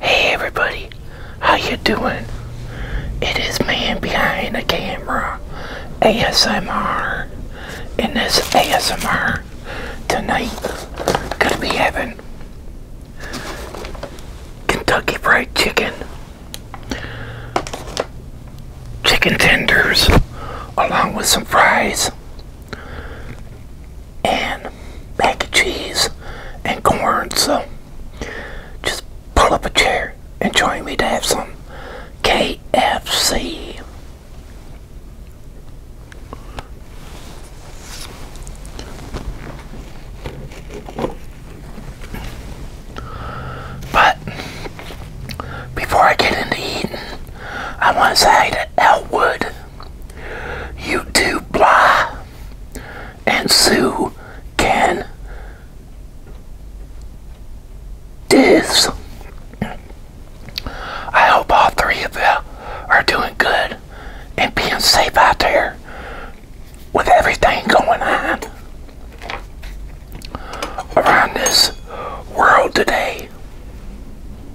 Hey everybody, how you doing? It is man behind the camera, ASMR. And this ASMR tonight, gonna be having Kentucky Fried Chicken, chicken tenders, along with some fries, and mac and cheese and corn. So just pull up a chair and join me to have some KFC. But before I get into eating, I want to say to Elwood YouTube Blah and Sue Can Diz. I hope all three of you are doing good and being safe out there with everything going on around this world today.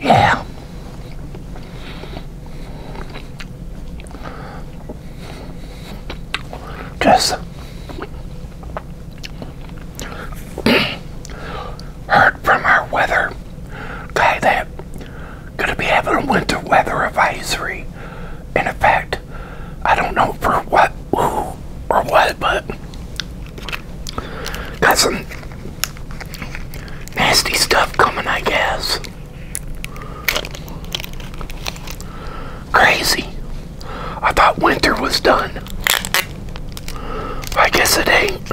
Yeah. Just heard from our weather guy that going to be having a winter weather advisory in effect. I don't know for what, who, or what, but got some nasty stuff coming, I guess. Crazy. I thought winter was done. I guess it ain't.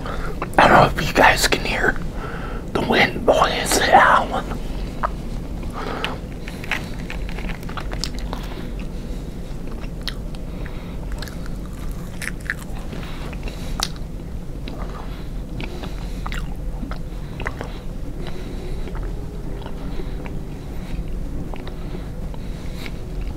I don't know if you guys can hear the wind blowing out.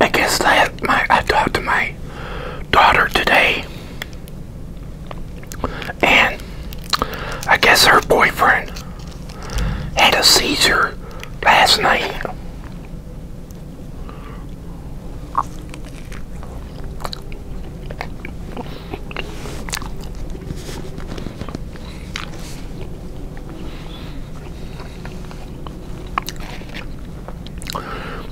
I guess that my I talked to my daughter today, and I guess her boyfriend had a seizure last night.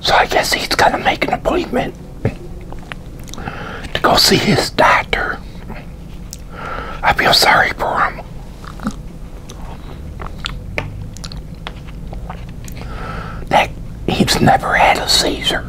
So I guess he's going to make an appointment to go see his doctor. I feel sorry for him. That he's never had a seizure.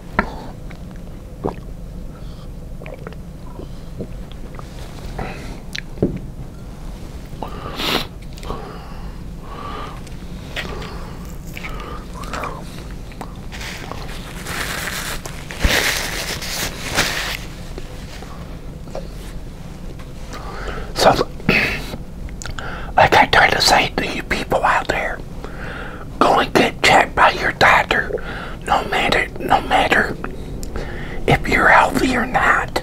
So, like I try to say to you people out there, Go and get checked by your doctor, no matter no matter if you're healthy or not.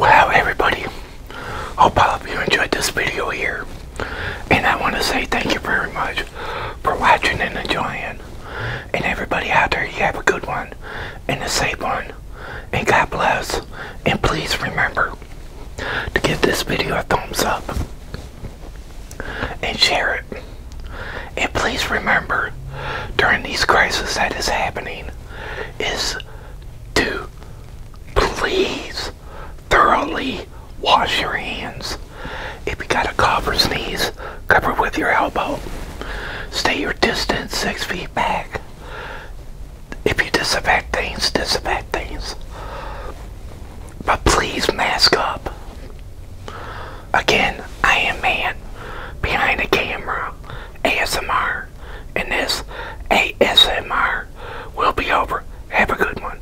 Wow, everybody. Hope you enjoyed this video here. And I want to say thank you very much for watching and enjoying. And everybody out there, you have a good one and a safe one. And God bless. And please remember to give this video a thumbs up and share it. And please remember, during these crises that is happening, is to please thoroughly wash your hands. If you got a cough or sneeze, cover with your elbow. Stay your distance six feet back. If you disinfect things, disinfect things. But please mask up. Again, I am man behind the camera, ASMR, and this ASMR will be over. Have a good one.